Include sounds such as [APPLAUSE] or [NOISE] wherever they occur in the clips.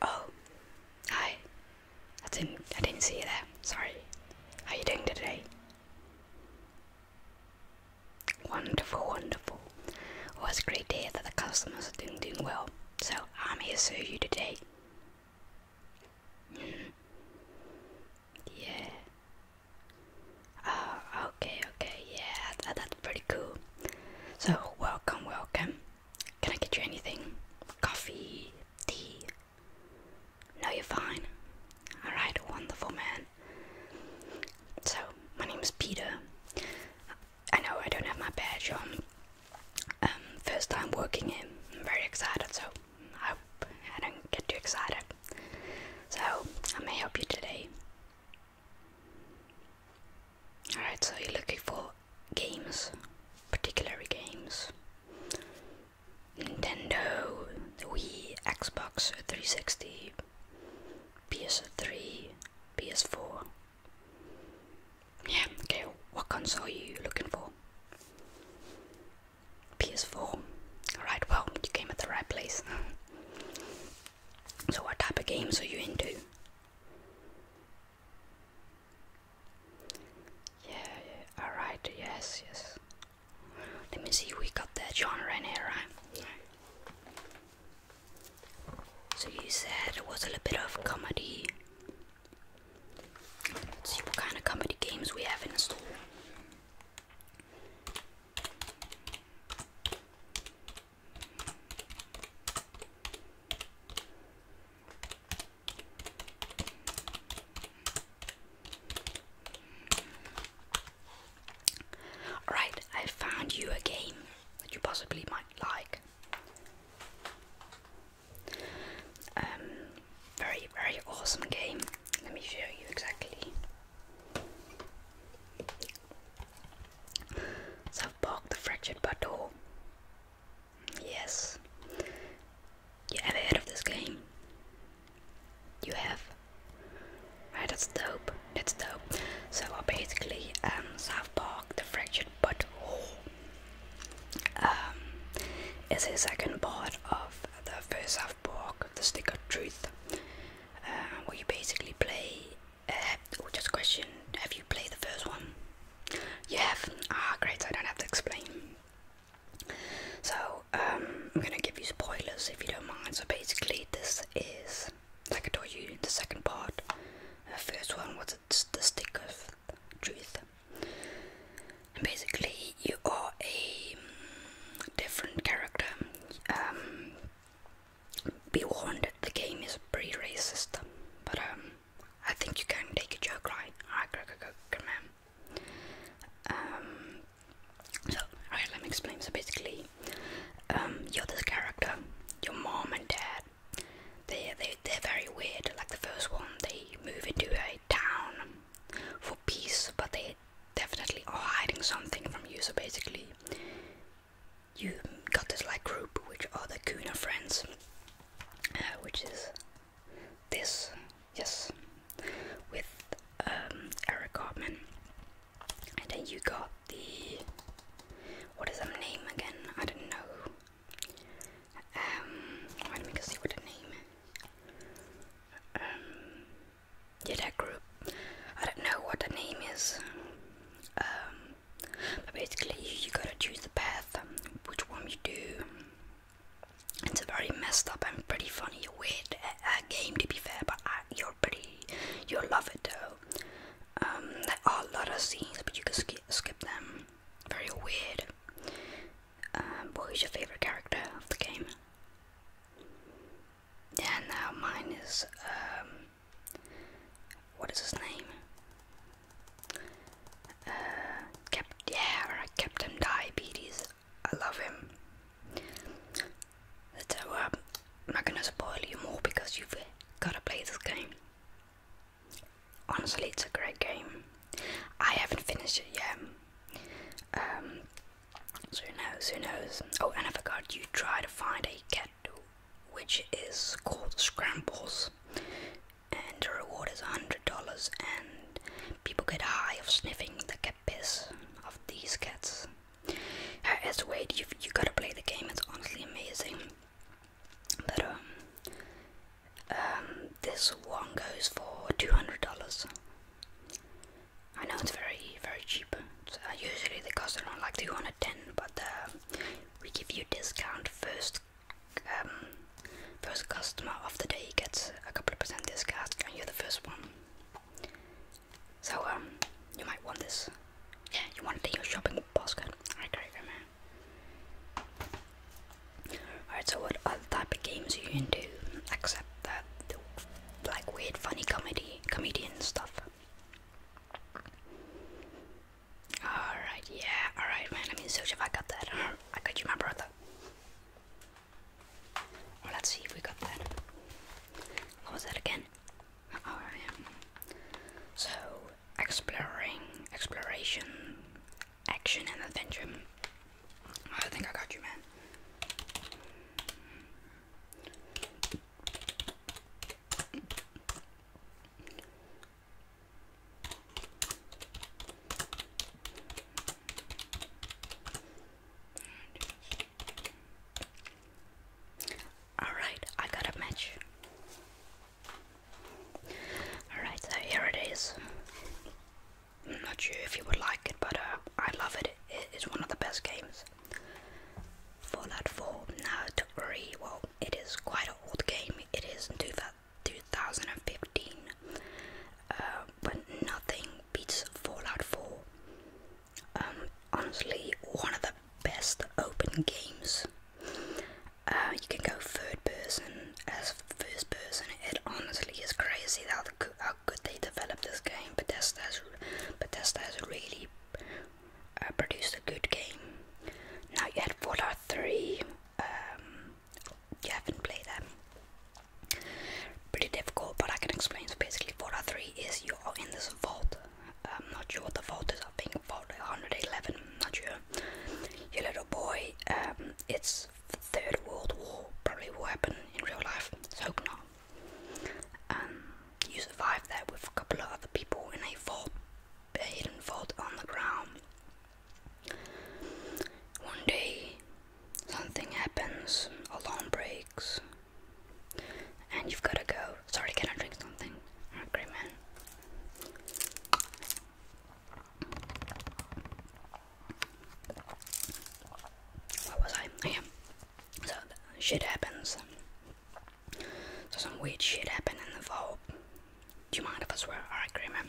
Oh, hi. I didn't. I didn't see you there. Sorry. How are you doing today? Wonderful, wonderful. Well, it's great day. that the customers are doing doing well. So I'm here to serve you today yeah. Oh, okay, okay, yeah, that's pretty cool. So, welcome, welcome. Can I get you anything? Coffee, tea? No, you're fine. Alright, wonderful man. So, my name is Peter. I know I don't have my badge on. Um, first time working here. I'm very excited, so I hope I don't get too excited. So, I may help you today. Alright, so you're looking for games, particular games. Nintendo, Wii, Xbox 360, PS3, PS4. Yeah, okay, what console are you looking for? PS4. Alright, well, you came at the right place. [LAUGHS] so, what type of games are you into? Yeah, alright, yes, yes. Let me see, we got that genre in here, right? Yeah. So, you said it was a little bit of comedy. Let's see what kind of comedy games we have in store. Alright, I found you a game that you possibly might like. Um, very, very awesome game. Let me show you exactly. South Park, the fractured butthole. Yes. You ever heard of this game? You have? Right, that's dope. That's dope. So, uh, basically, um, South Park, the fractured butthole it's um, is the second part of the first half book, The Stick of Truth, uh, where you basically play. Uh, oh, just a question: Have you played the first one? You have. Ah, great! I don't have to explain. So um, I'm gonna give you spoilers if you don't mind. So basically, this is like I told you, in the second part. The first one was the stick of truth, basically, you are a mm, different character. Um, be warned, the game is pretty racist, but um, I think you can take a joke, right? Alright, go, go, man. Um, so, alright, let me explain. So, basically, um, you're this character, your mom and dad they they they're very weird. Like the first one, they move into a town for peace, but they definitely are hiding something from you. So basically, you got this like group, which are the Kuna friends, uh, which is this yes, with um, Eric Cartman, and then you got the what is her name again? I don't know. Um, let me see what the name. Um, yeah, that group. I don't know what the name is. Um, but basically, you, gotta choose the path, um, which one you do. It's a very messed up and pretty funny, weird uh, uh, game to be fair, but uh, you're pretty, you'll love it though. Um, there are a lot of scenes, but you can sk skip them very weird. Um, what is your favorite character of the game? Yeah, now mine is um, what is his name? Uh, Cap yeah, Captain Diabetes. I love him. So uh, I'm not gonna spoil you more because you've gotta play this game honestly, it's a great game. I haven't finished it yet. Um, who knows? Who knows? Oh, and I forgot you try to find a cat, which is called Scrambles, and the reward is hundred dollars. And people get high of sniffing the cat piss of these cats. Uh, as a way, you you gotta play the game. It's honestly amazing. But um, this one goes for two hundred dollars. I know it's very very cheap. Uh, usually they cost around like two hundred ten, but uh, we give you discount first. Um, first customer of the day gets a couple of percent discount, and you're the first one. So um, you might want this. Yeah, you want it in your shopping basket. I agree, man. Alright, so what other type of games are you into? Except that, like weird, funny comedy, comedian stuff. Alright, yeah, alright, man. I mean, so if I got that, uh, I got you, my brother. let's see if we got that. What was that again? Uh, yeah. So exploring, exploration, action, and adventure. I think I got you, man. Alright, I got a match. Alright, so here it is. I'm not sure if you would like it, but uh, I love it. It is one of the best games. Fallout 4. Now, to worry, well, it is quite an old game. It is 2015. Uh, but nothing beats Fallout 4. Um, honestly one of the best open games. Uh, you can go third person as first person. It honestly is crazy how, how good they developed this game. Bethesda has, Bethesda has really uh, produced a good game. Now you had Fallout 3. Um, you haven't played that. Pretty difficult, but I can explain. So basically, Fallout 3 is you are in this vault I'm not sure what the fault is. I think fault 111. Not sure. Your little boy. Um, it's the Third World War. Probably will happen in real life. let hope not. Um, you survive there with a couple of other people in a vault, a hidden vault on the ground. One day, something happens. A Alarm breaks. And you've got to go. Sorry, can I drink something? I'm man. What was I? Oh, so shit happens. So some weird shit happened in the vault. Do you mind if I swear? Alright, great man.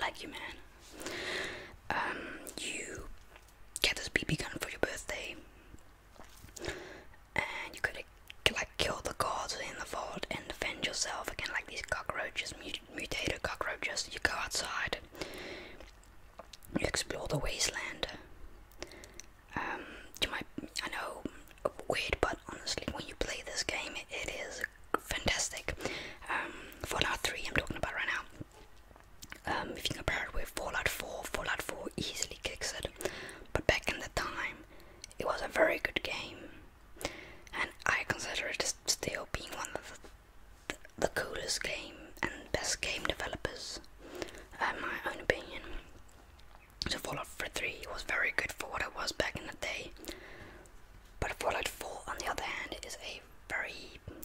Like you, man. Um, you get this BB gun for your birthday and you could like kill the guards in the vault and defend yourself against like these cockroaches, mutated cockroaches. You go outside, you explore the wasteland. Um, you might, I know, weird, but honestly, when you play this game, it is fantastic. Um, Fallout 3, I'm talking about right now. Um, if you compare it with Fallout 4, Fallout 4 easily kicks it but back in the time, it was a very good game, and I consider it still being one of the, coolest game and best game developers, in my own opinion. So Fallout 3 was very good for what it was back in the day, but Fallout 4, on the other hand, is a very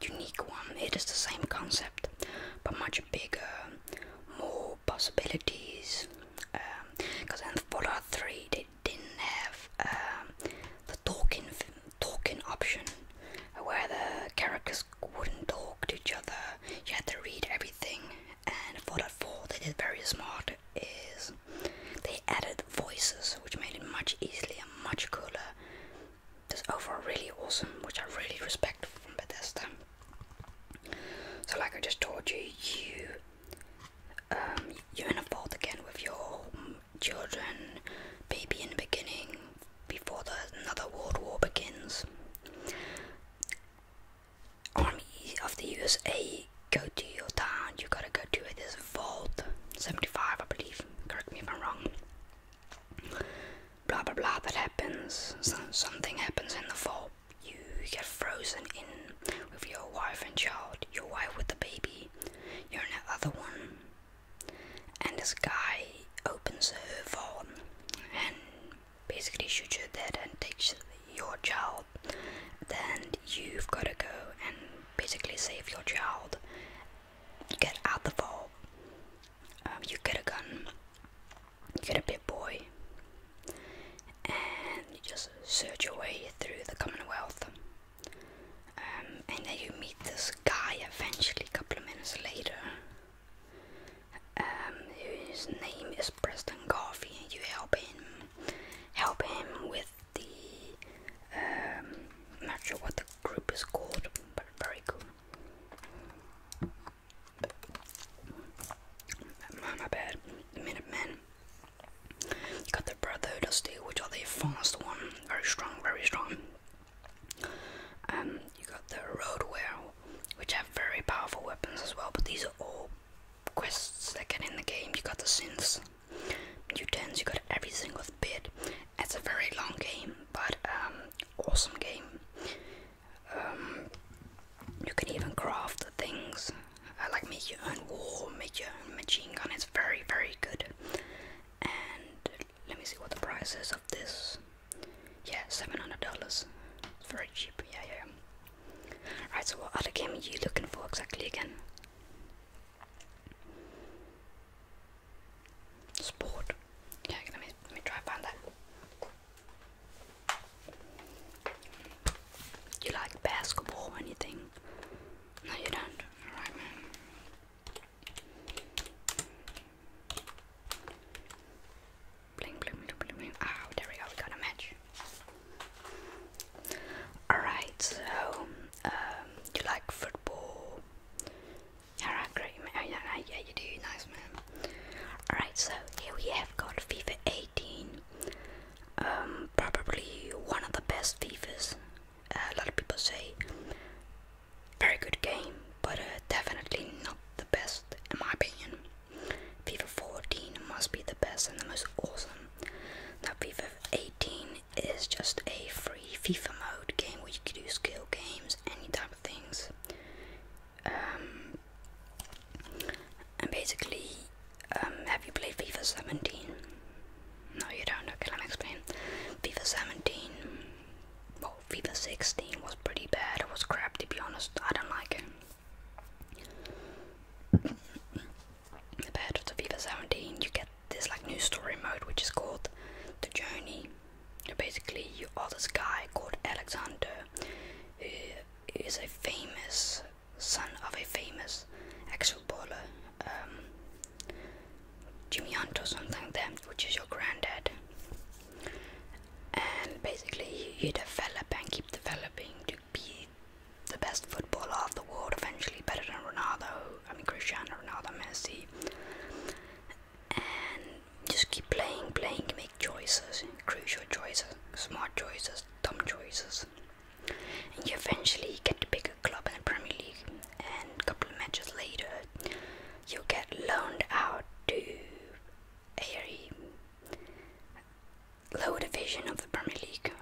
unique one. It is the same concept, but much bigger more possibilities. Because um, in Fallout 3 they didn't have um, the talking talking option, where the characters wouldn't talk to each other. You had to read everything. And Fallout 4 they did very smart is they added voices, which made it much easier, and much cooler that's overall really awesome, which I really respect from Bethesda. So, like I just told you, you um, you're in a vault again with your children, baby in the beginning, before the another world war begins. Army of the USA, go to your town. You gotta go to this vault, seventy-five, I believe. Correct me if I'm wrong blah blah blah that happens, something happens in the fall, you get frozen in with your wife and child, your wife with the baby, you're in the other one, and this guy opens her phone and basically shoots her dead and takes your child. Then you've got to go and basically save your child, get out the vault, um, you get a gun, you get a bit boy, and you just search your way through the Commonwealth. Um, and then you meet this guy eventually, a couple of minutes later. Um, his name is Preston Garvey, and you help him, help him with the. not sure what the group is called, but very cool. My bad. The Minutemen. You got the Brotherhood of Steel, which are the fast one. Very strong, very strong. Um, you got the Road Whale, which have very powerful weapons as well, but these are all quests that get in the game. You got the synths, mutants, you got every single bit. It's a very long game, but um, awesome game. Um, you can even craft things uh, like make your own war, make your own machine gun. It's very, very good. And let me see what the price is of this. Yeah, seven hundred dollars. It's very cheap. Yeah, yeah. Right. So, what other game are you looking for exactly again? Sport. Yeah, let me try and find that. You like basketball or anything? No, you don't. Alright, man. Bling, bling, bling, bling, bling. Oh, there we go. We got a match. Alright, so um, you like football? You're angry, man. Yeah, yeah, you do. Nice, man. Alright, so here we have got FIFA 18. Um, probably one of the best FIFAs. Uh, a lot of people say very good game, but uh, definitely not the best in my opinion. FIFA 14 must be the best and the most awesome. Now FIFA 18 it's just a free FIFA mode game where you can do skill games, any type of things. Um, and basically, um, have you played FIFA 17? No, you don't. Okay, let me explain. FIFA 17, well, FIFA 16 was pretty bad. It was crap, to be honest. I don't like it. The bad the FIFA 17, you get there's like new story mode which is called The Journey. Basically, you are this guy called Alexander who is a famous son of a famous ex-footballer, um, Jimmy Hunt or something like which is your granddad. And basically, you develop and keep developing to be the best footballer of the world, eventually better than Ronaldo, I mean Cristiano Ronaldo, Messi, and just keep playing, playing, make choices, crucial choices, smart choices, dumb choices, and you eventually get to pick a club in the Premier League. And a couple of matches later, you get loaned out to a lower division of the Premier League,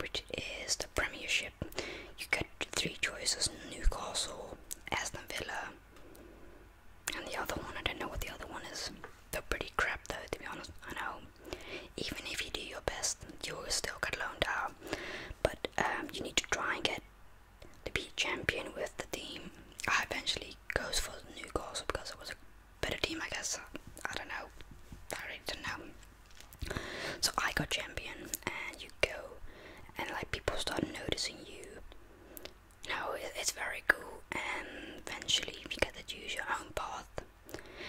which is the Premiership. You go three choices Newcastle, Aston Villa, and the other one. I don't know what the other one is. They're pretty crap though, to be honest. I know. Even if you do your best, you'll still get loaned out. But um, you need to try and get to be champion with the team. I eventually goes for Newcastle because it was a better team, I guess. I don't know. I really don't know. So I got champion, and you go, and like people start noticing you. No, it's very cool, and eventually if you get to use your own path.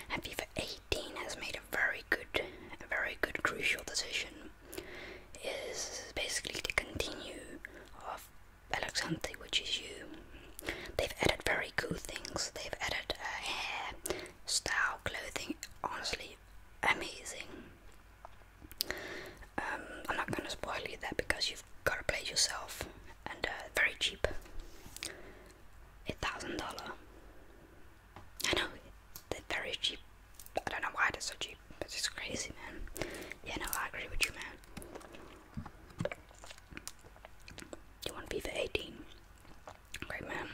And FIFA 18 has made a very good, a very good crucial decision. Is basically the continue of Alexante, which is you. They've added very cool things. They've added uh, hair, style, clothing. Honestly, amazing. Um, I'm not gonna spoil you that because you've gotta play it yourself, and uh, very cheap. A thousand dollar. I know they're very cheap. I don't know why they're so cheap, but it's crazy, man. Yeah, no, I agree with you, man. You want FIFA 18? Great man.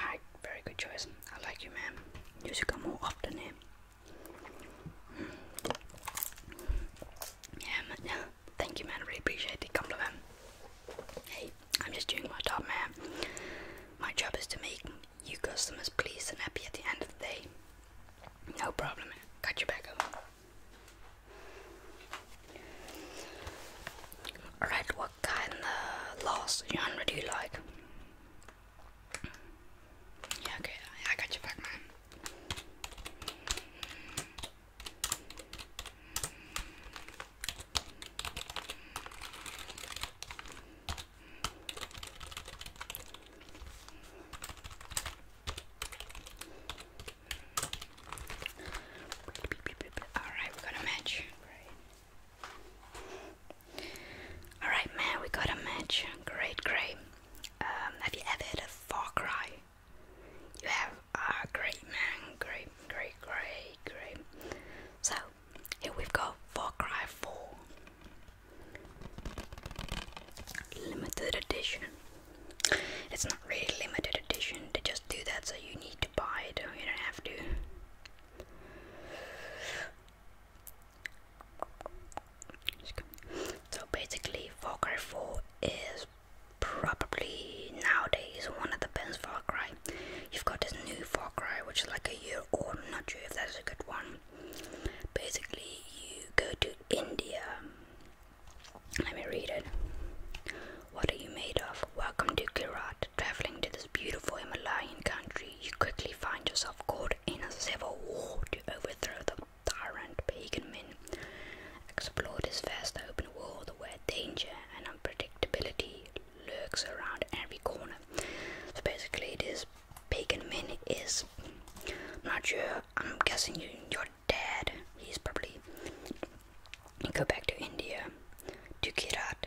Alright, very good choice. I like you, man. You should come more often here. Hmm. Yeah, yeah. Thank you, man. really appreciate the compliment. Hey, I'm just doing my job, man. My job is to make you customers pleased and happy at the end of the day. No problem. Got your back up. Alright, what kind of loss genre do you like? Yeah, okay, I got your back, man. Alright, we got a match. Alright, man, we got a match. Great, great. Um, have you ever had a Far Cry? You have? Ah, uh, great, man. Great, great, great, great. So, here we've got Far Cry 4. Limited edition. It's not really limited edition, they just do that so you need to buy it you don't have to. So basically, Far Cry 4 is probably nowadays one of the best Far Cry. You've got this new Far Cry, which is like a year old. I'm not sure if that's a good one. Basically, you go to India let me read it. What are you made of? Welcome to Gujarat. Traveling to this beautiful Himalayan country, you quickly find yourself caught in a civil war to overthrow the tyrant pagan men. Explore this vast open world where danger and unpredictability lurks around every corner. So basically, this pagan men is. not sure. I'm guessing you're dad, he's probably you go back to India to Kirat,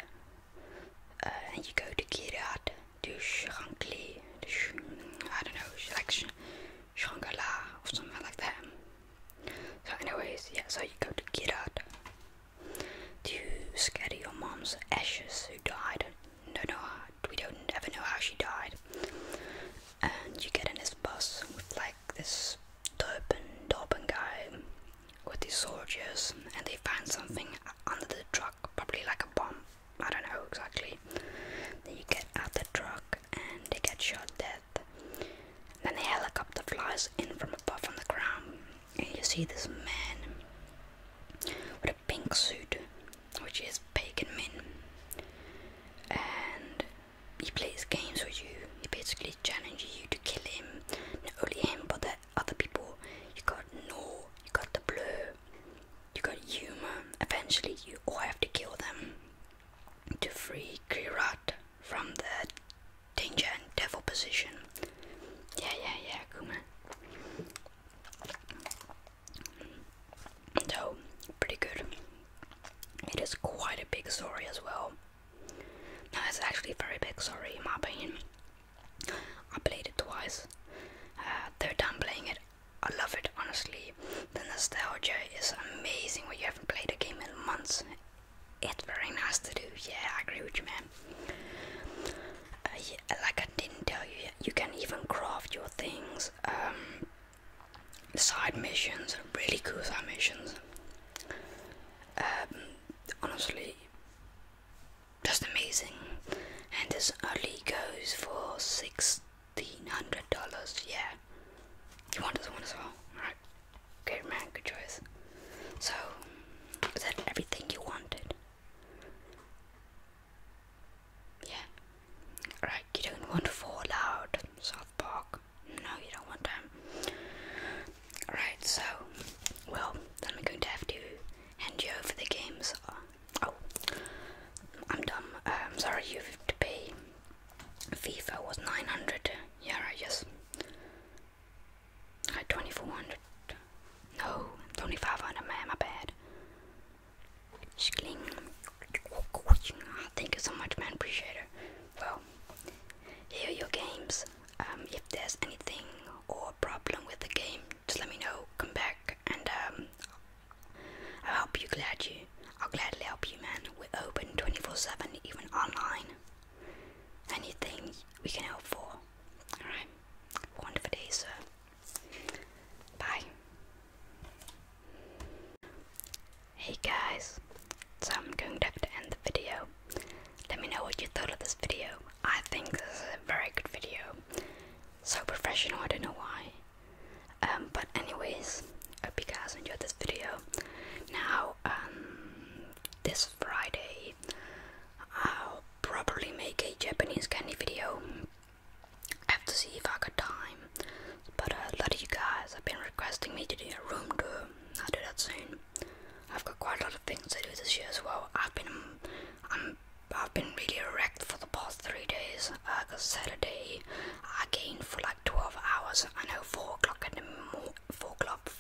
uh, and you go to Kirat to Shrankli, I don't know, like Shangala or something like that. So, anyways, yeah, so you go to Kirat to scatter your mom's ashes who died. No, no, we don't ever know how she died. And you get in this bus with like this Turban Dorban guy with his soldiers and they find something under the truck, probably like a bomb. I don't know exactly. Then you get out the truck and they get shot dead. Then a helicopter flies in from above on the ground and you see this man with a pink suit, which is Pagan Min. And he plays games with you. He basically challenges you to kill him. Not only him, but the other people. You got no, you got the blur, you got humor. Eventually, you all have to kill them to free Kirat from the danger and devil position. Yeah, yeah, yeah, Kuma. So, pretty good. It is quite a big story as well. No, it's actually very big story in my opinion. I played it twice. Uh, third time playing it, I love it honestly. The nostalgia is amazing when you haven't played a game in months. It's very nice to do. Yeah, I agree with you, man. Uh, like I didn't tell you, you can even craft your things. Um, side missions, really cool side missions. Um, honestly, just amazing. And this only goes for sixteen hundred dollars. Yeah, you want this one as well, All right? Good man, good choice. So, is everything you wanted? Yeah. Right, you don't want to fall out, South Park. No, you don't want them. Alright, so, well, then we're going to have to hand you over the games. Oh, I'm dumb. I'm um, sorry, you have to pay. FIFA was 900. Yeah, right, yes. I had 2400. No, 2500, man, my bad. Schling. Thank you so much, man. Appreciate it. Well, here are your games. Um, if there's anything or problem with the game, just let me know. Come back, and um, I'll help you. Glad you. I'll gladly help you, man. We're open 24/7, even online. Anything we can help for. All right. Wonderful day, sir. Bye. Hey guys, so I'm going to have to end the video. Let me know what you thought of this video. I think this is a very good video. So professional, I don't know why. Um, but anyways, I hope you guys enjoyed this video. Now, um, this Friday, I'll probably make a Japanese candy video. I have to see if I got time. But uh, a lot of you guys have been requesting me to do a room tour. I'll do that soon. I've got quite a lot of things to do this year as well. I've been, um, I'm, I've been really wrecked for the past three days. Uh, Cause Saturday I gained for like 12 hours. I know four o'clock in the mo four o'clock,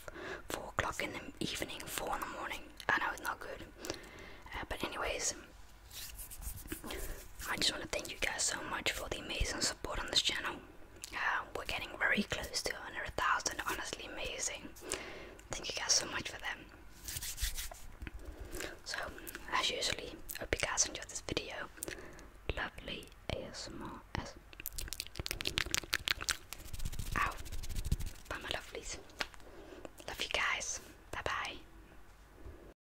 four o'clock in the evening, four in the morning. I know it's not good. Uh, but anyways, I just want to thank you guys so much for the amazing support on this channel. Uh, we're getting very close to 100,000, honestly amazing. Thank you guys so much for that. So, as usually, hope you guys enjoyed this video. Lovely ASMR. As Bye, my lovelies. Love you guys. Bye bye.